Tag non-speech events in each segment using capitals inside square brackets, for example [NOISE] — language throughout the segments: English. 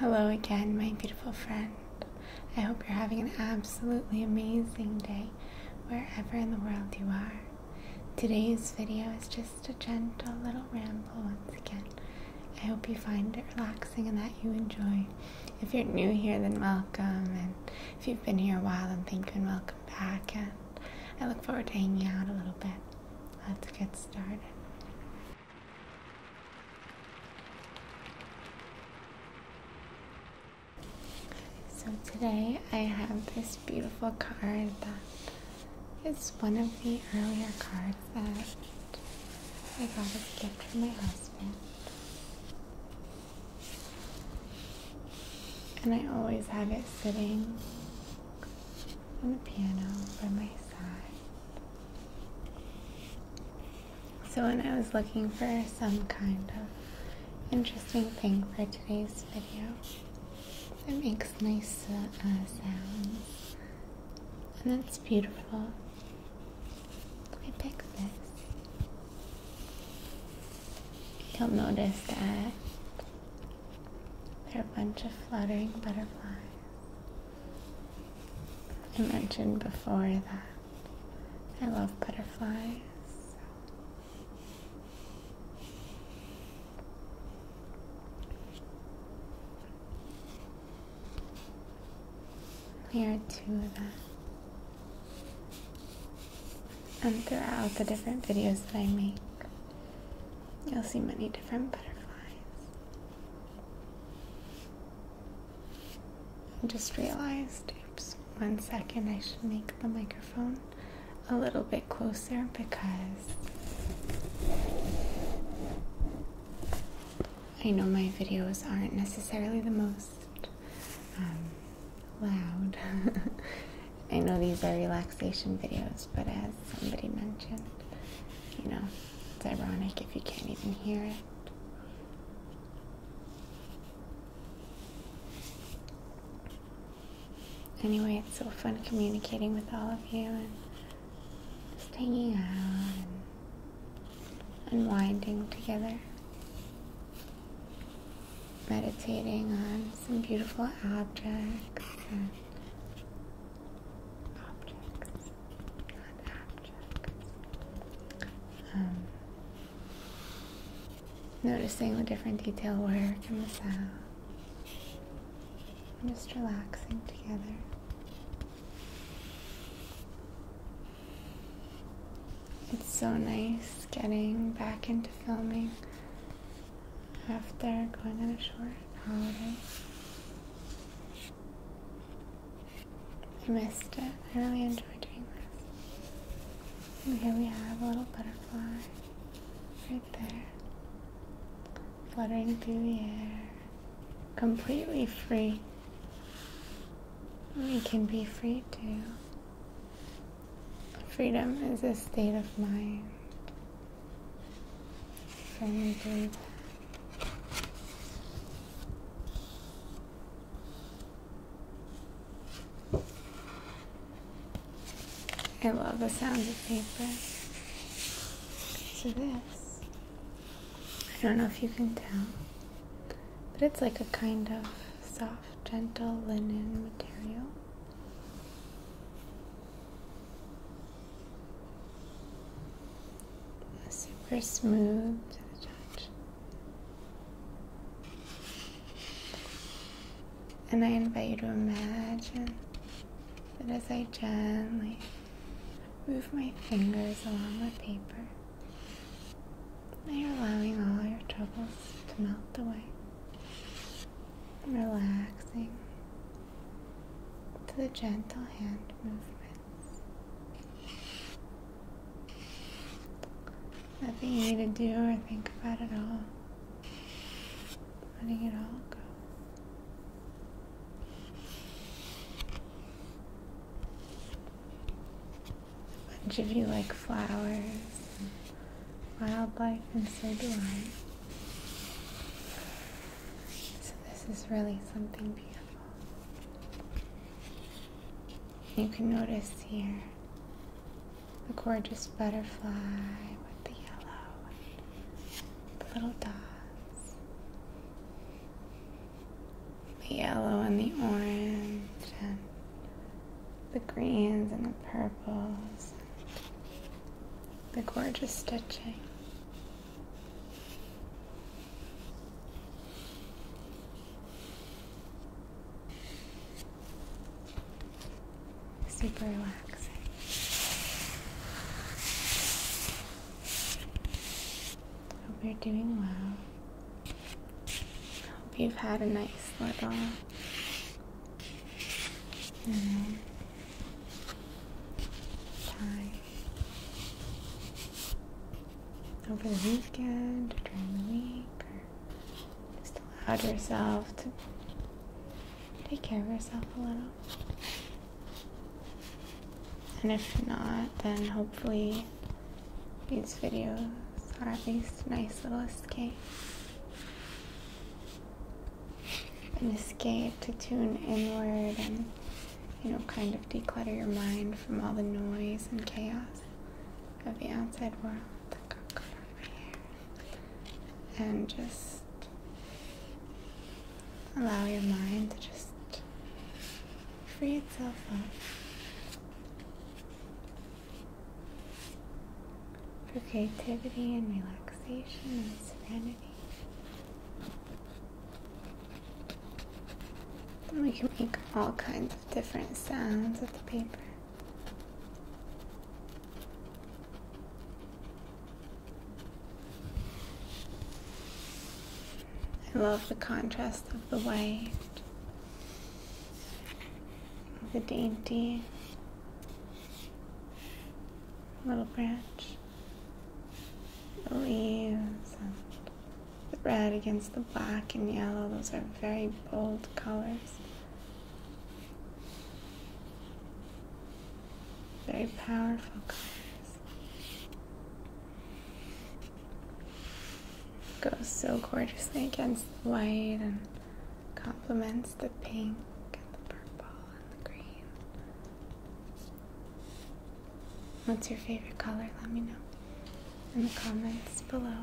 Hello again, my beautiful friend. I hope you're having an absolutely amazing day wherever in the world you are. Today's video is just a gentle little ramble once again. I hope you find it relaxing and that you enjoy. If you're new here, then welcome. And if you've been here a while, then thank you and welcome back. And I look forward to hanging out a little bit. Let's get started. So today I have this beautiful card that is one of the earlier cards that I got as a gift from my husband. And I always have it sitting on the piano by my side. So, when I was looking for some kind of interesting thing for today's video that makes nice uh, sounds and it's beautiful, I picked this. You'll notice that there are a bunch of fluttering butterflies. I mentioned before that I love butterflies. Here are two of them. And throughout the different videos that I make, you'll see many different butterflies. I just realized, oops, one second, I should make the microphone a little bit closer because I know my videos aren't necessarily the most um, loud. [LAUGHS] I know these are relaxation videos, but as somebody mentioned, you know, it's ironic if you can't even hear it. Anyway, it's so fun communicating with all of you and hanging out and unwinding together. Meditating on some beautiful objects objects, not abjects. Um, noticing the different detail work it comes out. just relaxing together. It's so nice getting back into filming after going on a short holiday. I missed it. I really enjoy doing this. And here we have a little butterfly right there, fluttering through the air, completely free. We can be free too. Freedom is a state of mind. I love the sound of paper. So this, I don't know if you can tell, but it's like a kind of soft, gentle linen material. Super smooth to the touch. And I invite you to imagine that as I gently move my fingers along the paper, you're allowing all your troubles to melt away. relaxing to the gentle hand movements. Nothing you need to do or think about at all. Letting it all go. A bunch of you like flowers and wildlife, and so do I. So, this is really something beautiful. You can notice here the gorgeous butterfly with the yellow the little dots, the yellow and the orange, and the greens and the purples, and the gorgeous stitching. Super relaxing. Hope you're doing well. Hope you've had a nice little you know, over the weekend during the week, or just allow yourself to take care of yourself a little. And if not, then hopefully these videos are at least a nice little escape an escape to tune inward and you know kind of declutter your mind from all the noise and chaos of the outside world and just allow your mind to just free itself up for creativity and relaxation and serenity we can make all kinds of different sounds with the paper. I love the contrast of the white, the dainty little branch the leaves and the red against the black and yellow. Those are very bold colors. Very powerful colors. Goes so gorgeously against the white and complements the pink and the purple and the green. What's your favorite color? Let me know in the comments below.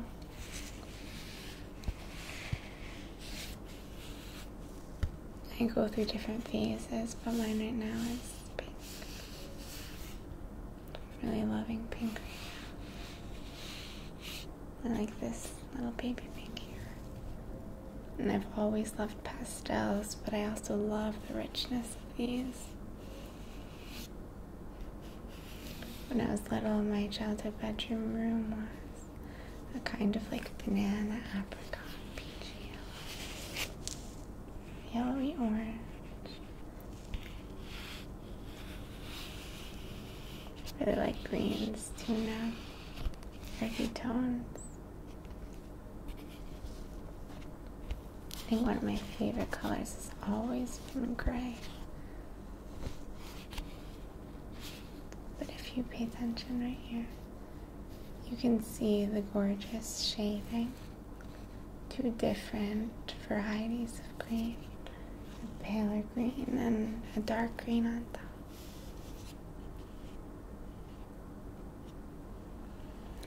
I go through different phases, but mine right now is pink. I'm really loving pink right now. I like this little baby pink here. And I've always loved pastels, but I also love the richness of these. When I was little, my childhood bedroom room was a kind of like banana, apricot, peachy yellow, yellowy orange. really like greens tuna, now, earthy tones. I think one of my favorite colors has always been gray. But if you pay attention right here, you can see the gorgeous shading. Two different varieties of green a paler green and a dark green on top.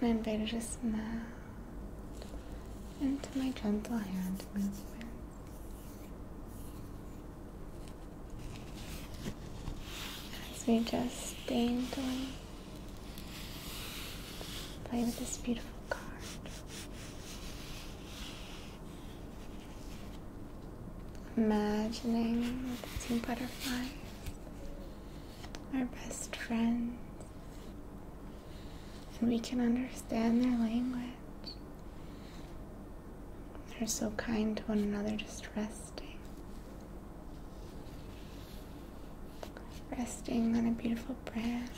And I invited a to smile into my gentle hand movements. As we just daintily play with this beautiful card imagining the two butterflies, our best friends, and we can understand their language. They're so kind to one another, just resting. Resting on a beautiful branch.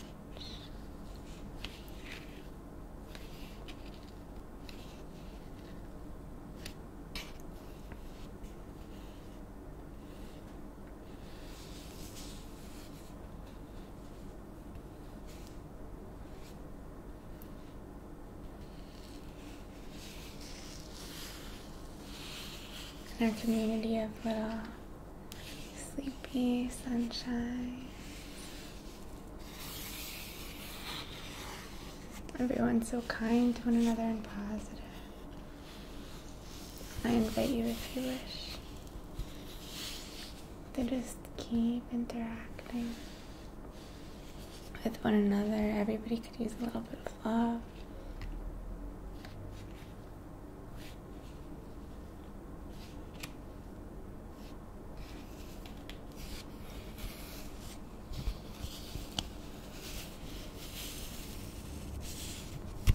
In our community of little sleepy sunshine. Everyone's so kind to one another and positive. I invite you if you wish to just keep interacting with one another. Everybody could use a little bit of love.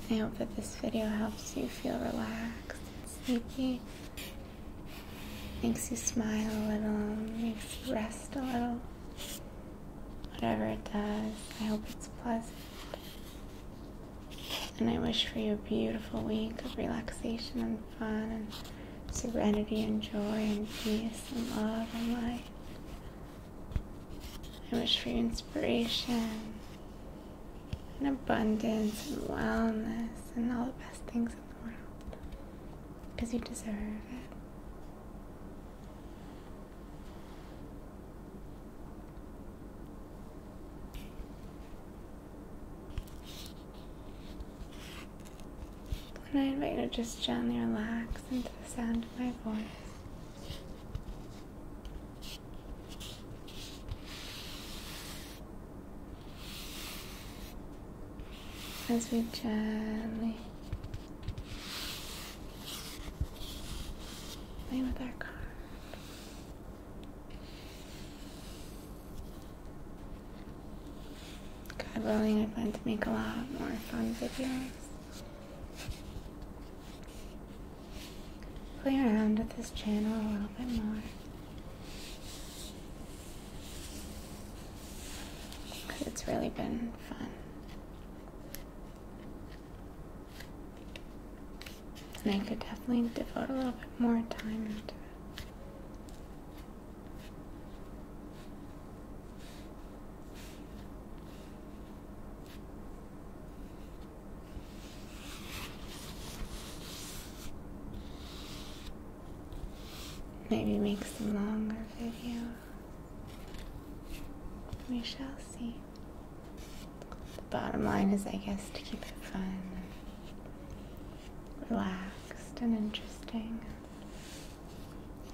I hope that this video helps you feel relaxed and sleepy, makes you smile a little, makes you rest a little. Whatever it does, I hope it's pleasant. And I wish for you a beautiful week of relaxation and fun serenity and joy and peace and love and light. I wish for inspiration and abundance and wellness and all the best things in the world because you deserve it. And I invite you to just gently relax into the sound of my voice. As we gently play with our card. God willing, I plan to make a lot more fun videos. Play around with this channel a little bit more. it's really been fun. And I could definitely devote a little bit more time into it. Maybe make some longer video. We shall see. The bottom line is, I guess, to keep it fun, relaxed, and interesting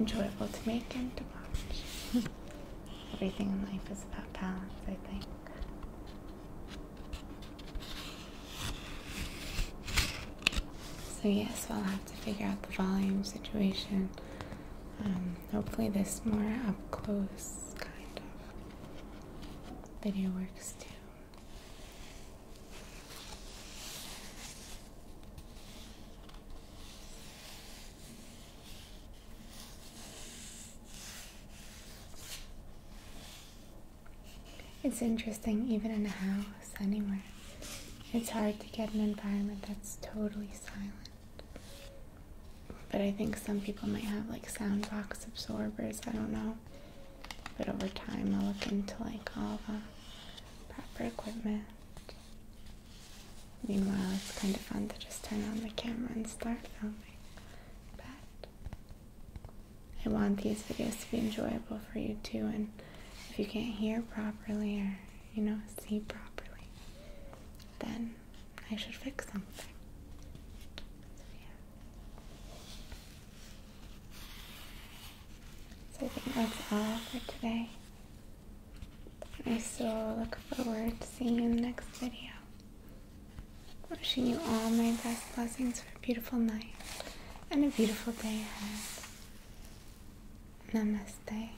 enjoyable to make and to watch. [LAUGHS] Everything in life is about balance, I think. So, yes, we will have to figure out the volume situation. Um, hopefully, this more up close kind of video works too. It's interesting, even in a house, anywhere. It's hard to get an environment that's totally silent. But I think some people might have like sound box absorbers, I don't know. But over time, I'll look into like all the proper equipment. Meanwhile, it's kind of fun to just turn on the camera and start filming. But I want these videos to be enjoyable for you too. And if you can't hear properly or, you know, see properly, then I should fix something. So I think that's all for today. I so look forward to seeing you in the next video. Wishing you all my best blessings for a beautiful night and a beautiful day ahead. Namaste.